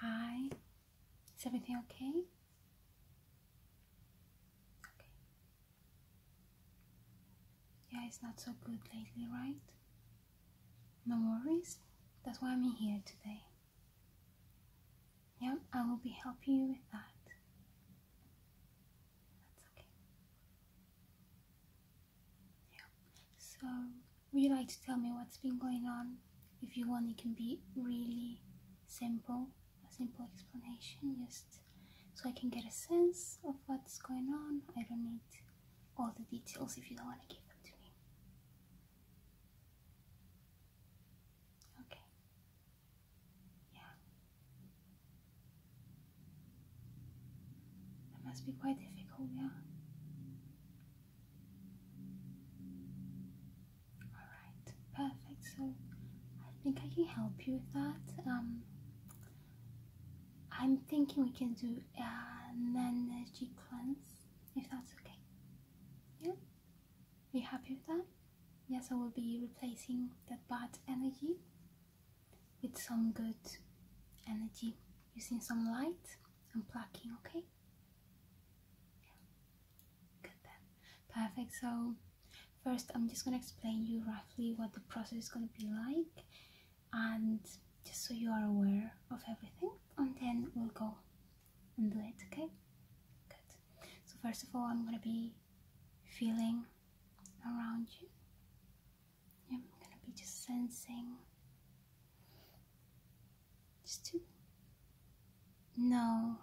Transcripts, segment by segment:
Hi. Is everything okay? Yeah, it's not so good lately, right? No worries. That's why I'm here today. Yep, I will be helping you with that. That's okay. So would you like to tell me what's been going on? If you want, it can be really simple, a simple explanation, just so I can get a sense of what's going on. I don't need all the details if you don't want to give them to me. Okay. Yeah. That must be quite difficult, yeah? Alright, perfect. So I think I can help you with that. Um, I'm thinking we can do an energy cleanse if that's okay. Yeah? Are you happy with that? Yes, I will be replacing that bad energy with some good energy using some light and plucking, okay? Perfect. So first I'm just gonna explain you roughly what the process is gonna be like and just so you are aware of everything and then we'll go and do it, okay? Good. So first of all I'm gonna be feeling around you. I'm gonna be just sensing just to know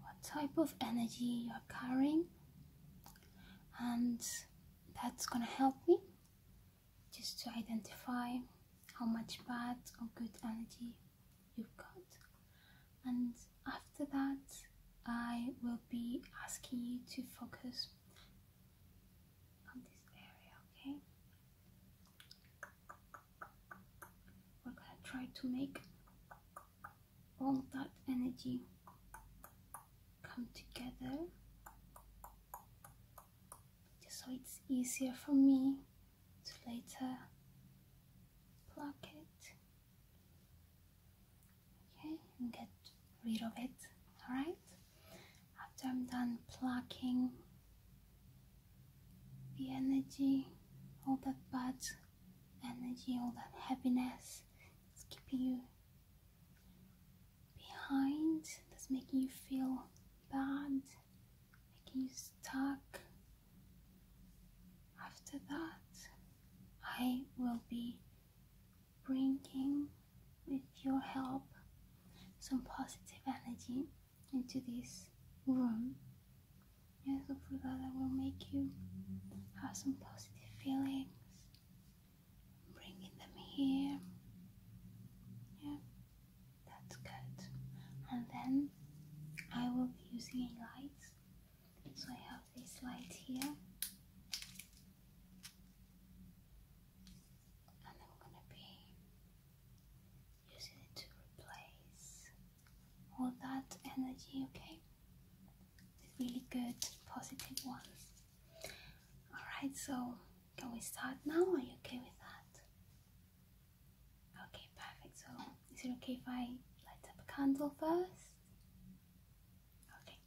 what type of energy you're carrying, and that's gonna help me just to identify how much bad or good energy you've got. And after that, I will be asking you to focus on this area, okay? We're gonna try to make all that energy come together just so it's easier for me to later block it okay and get rid of it all right after I'm done plucking the energy, all that bad energy, all that heaviness is keeping you behind, that's making you feel bad, making you stuck. After that, I will be bringing, with your help, some positive energy into this room and look for that I will make you have some positive feelings bringing them here yeah that's good and then I will be using a light so I have this light here and I'm gonna be using it to replace all that energy, okay? The really good positive ones. Alright, so can we start now? Are you okay with that? Okay, perfect. So is it okay if I light up a candle first? Okay,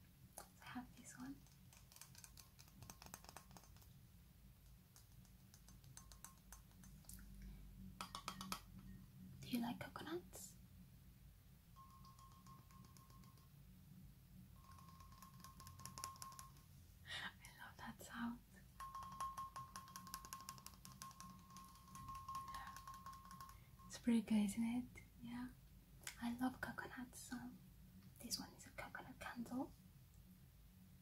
I have this one. Do you like coconuts? I love that sound. It's pretty good, isn't it? Yeah. I love coconuts. Um, this one is a coconut candle. Okay,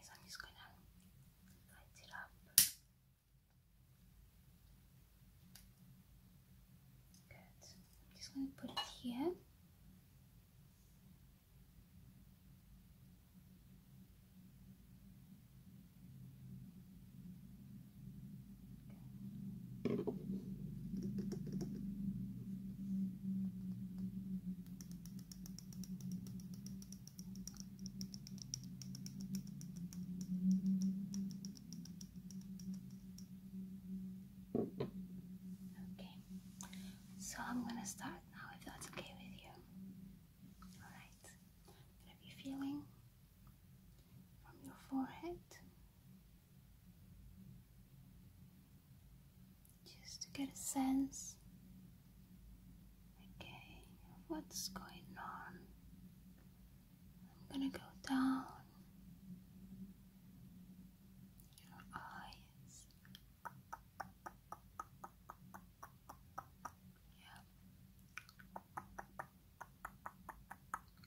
so I'm just going to light it up. Good. I'm just going to put it here. Okay, so I'm gonna start now if that's okay with you. Alright, I'm going to be feeling from your forehead just to get a sense okay, what's going on. I'm going to go down your eyes. Yeah.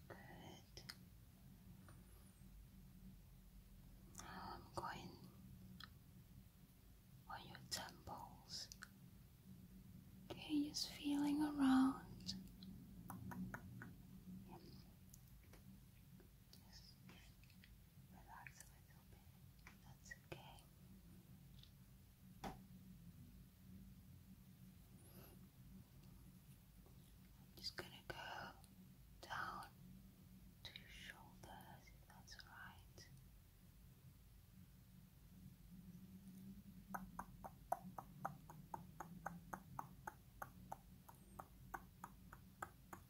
Good. Now I'm going on your temples. Okay, just feeling around relax a little bit. That's okay. I'm just gonna go down to your shoulders if that's alright.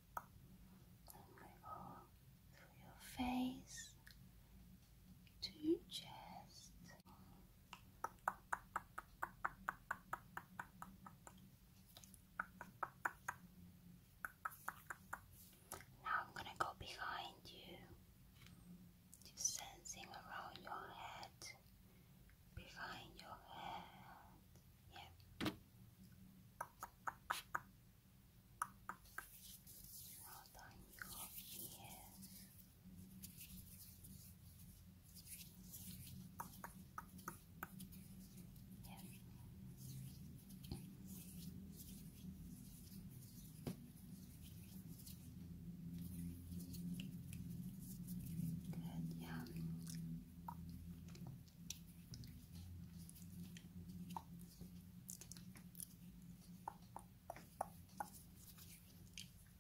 Ripple through your face to your chest. Now I'm gonna go behind you, just sensing around your head, behind your head. Yeah. Roll on your ears. Yes. Good, yeah.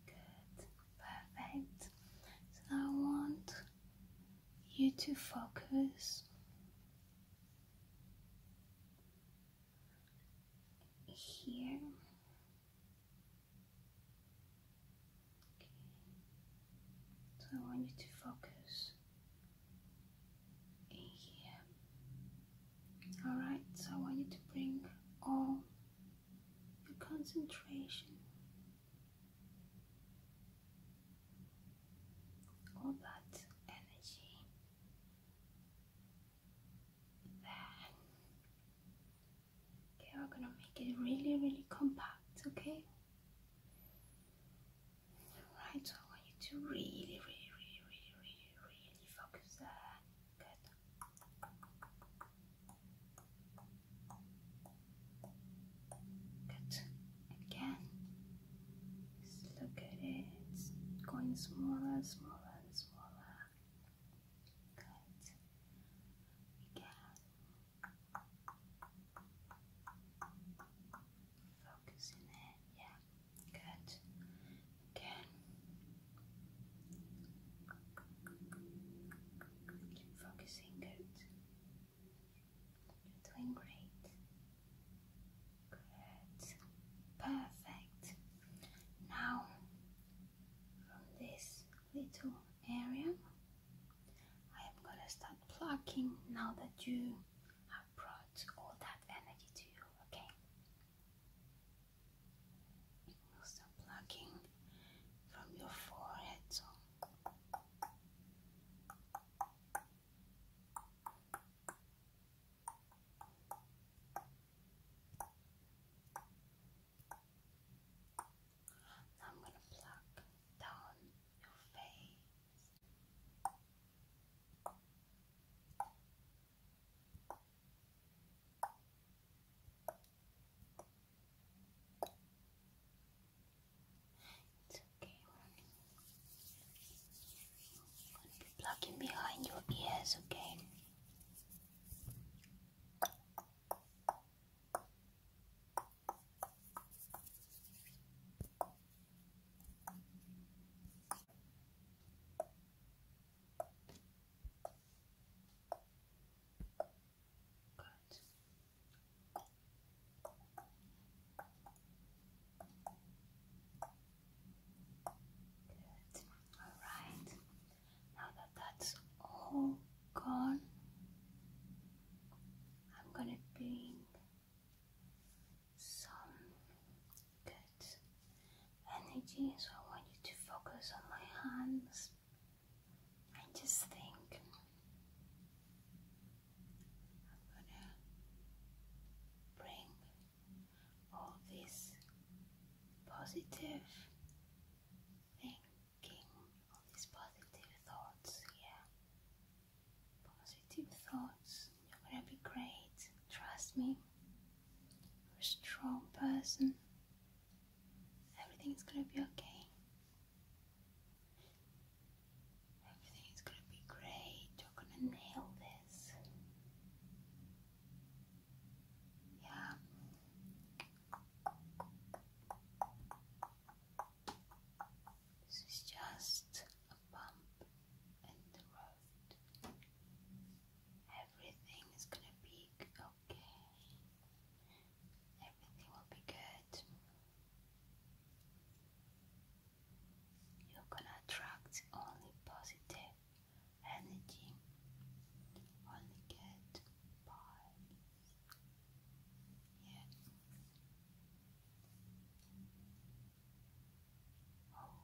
Good, perfect. So now I want you to focus here. So I want you to focus in Alright, so I want you to bring all your concentration, all that energy there. Okay, we're gonna make it really, really compact, okay? Alright, I want you to really, really, really, really, really, really focus there. Good. Good. Again. Just look at it. going smaller, smaller, smaller. Good. Again. Focus in Yeah. Good. Again. focusing. Good. You're doing great. Good. Perfect. Now, from this little area, I am going to start plucking now that you I brought all that energy to you, okay? We'll start plucking from your forehead. So. Now I'm going to pluck down your face. It's okay. I'm going to be plugging behind your ears, Okay. Good. Good. All right. Now that that's all gone, I'm going to bring some good energy, I want you to focus on my hands and just think. I'm gonna bring all this positive thinking, all these positive thoughts Yeah positive thoughts. You're gonna be great. Trust me. You're a strong person. Everything's gonna be okay. Everything's gonna be great. You're gonna nail this. Yeah. This is just bump in the road. Everything is gonna be okay. Everything will be good. You're gonna attract only positive energy, only good vibes. Yeah. Oh,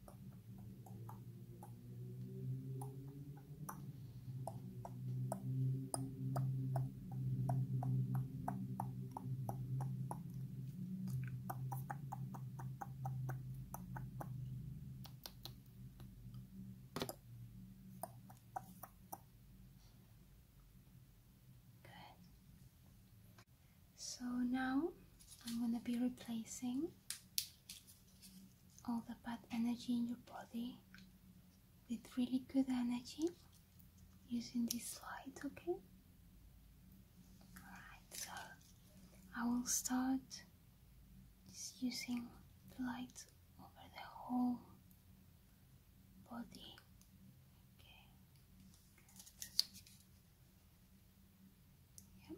Good. So now I'm going to be replacing all the bad energy in your body with really good energy using this light, okay? Alright, so I will start just using the light over the whole body. Okay. Yep. Good.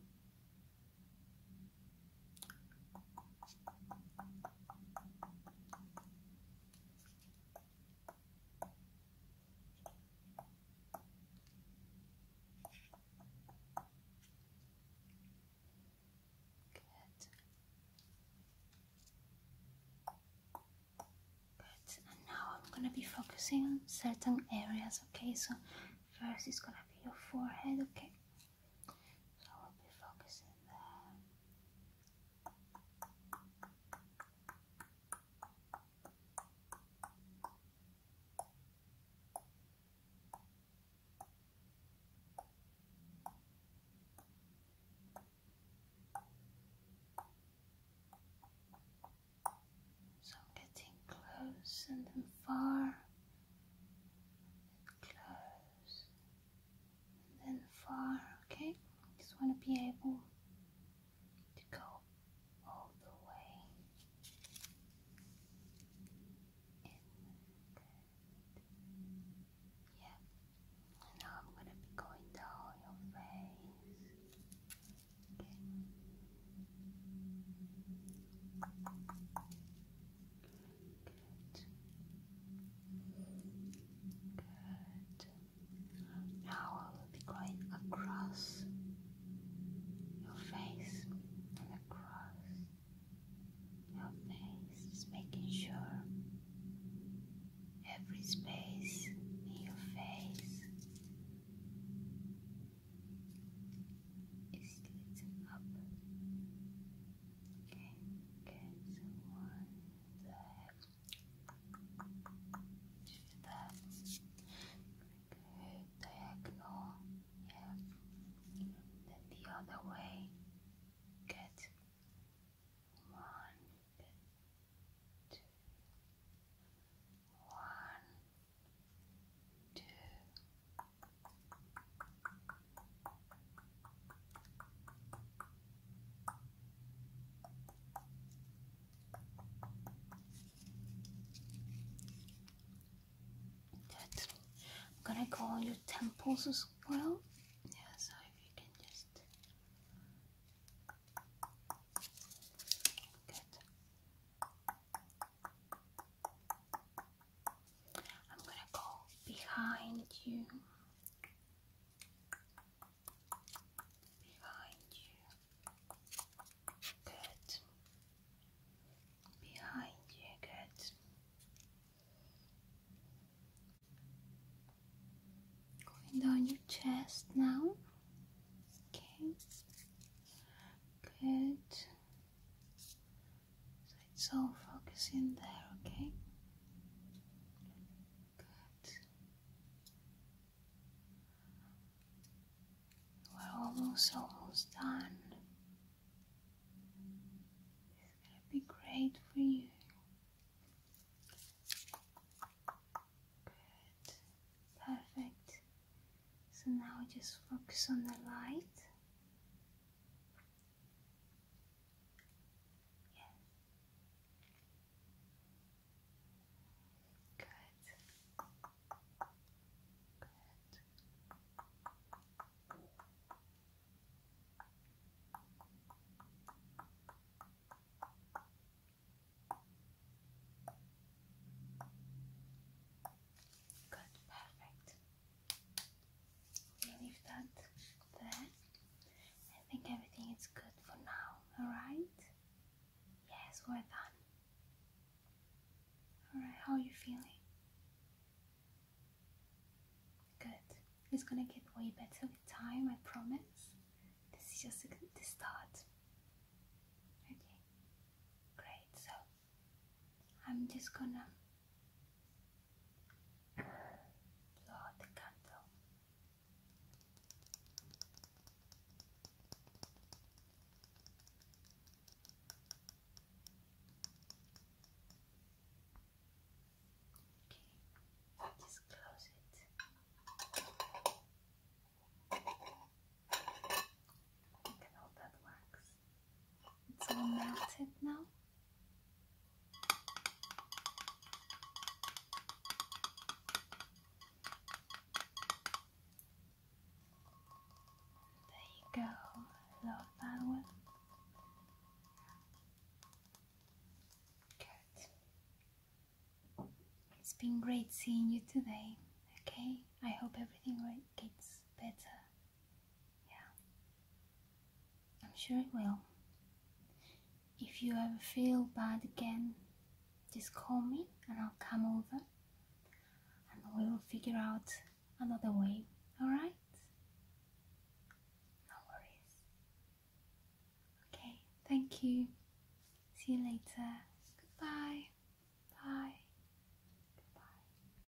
Good. And now I'm gonna be focusing on certain areas, okay? So First, it's gonna be your forehead, okay? So I will be focusing there. So getting close and then far close, and then far, okay? Just want to be able to go all the way Yeah. now I'm going to be going down your face. Okay. Good. Now I will be going across your face and across your face, just making sure every space in your face is lit up. Okay, get one there. Just that. Good, diagonal. Yeah. Then the other way. Get one, two, one, two, That's, I'm gonna go on your temples as well. Yeah, so if you can just good. I'm gonna go behind you, behind you, good, behind you, good. Going down your chest now, okay, good. So it's all in there, okay? Good. We're almost, almost done. It's going to be great for you. Good. Perfect. So now just focus on the light. Yes. Good. Good. Good, perfect leave that there. I think everything is good for now, alright? Yes, we're done. Alright, how are you feeling? Good. It's gonna get way better with time, I promise. This is just the start. Okay, great. So I'm just gonna blow out the candle. Okay, just close it. Look at that wax. It's all melted now. There you go. Love that one. Good. It's been great seeing you today. Okay? I hope everything gets better yeah. I'm sure it will. If you ever feel bad again, just call me and I'll come over and we will figure out another way, alright? No worries. Okay, thank you. See you later. Goodbye. Bye.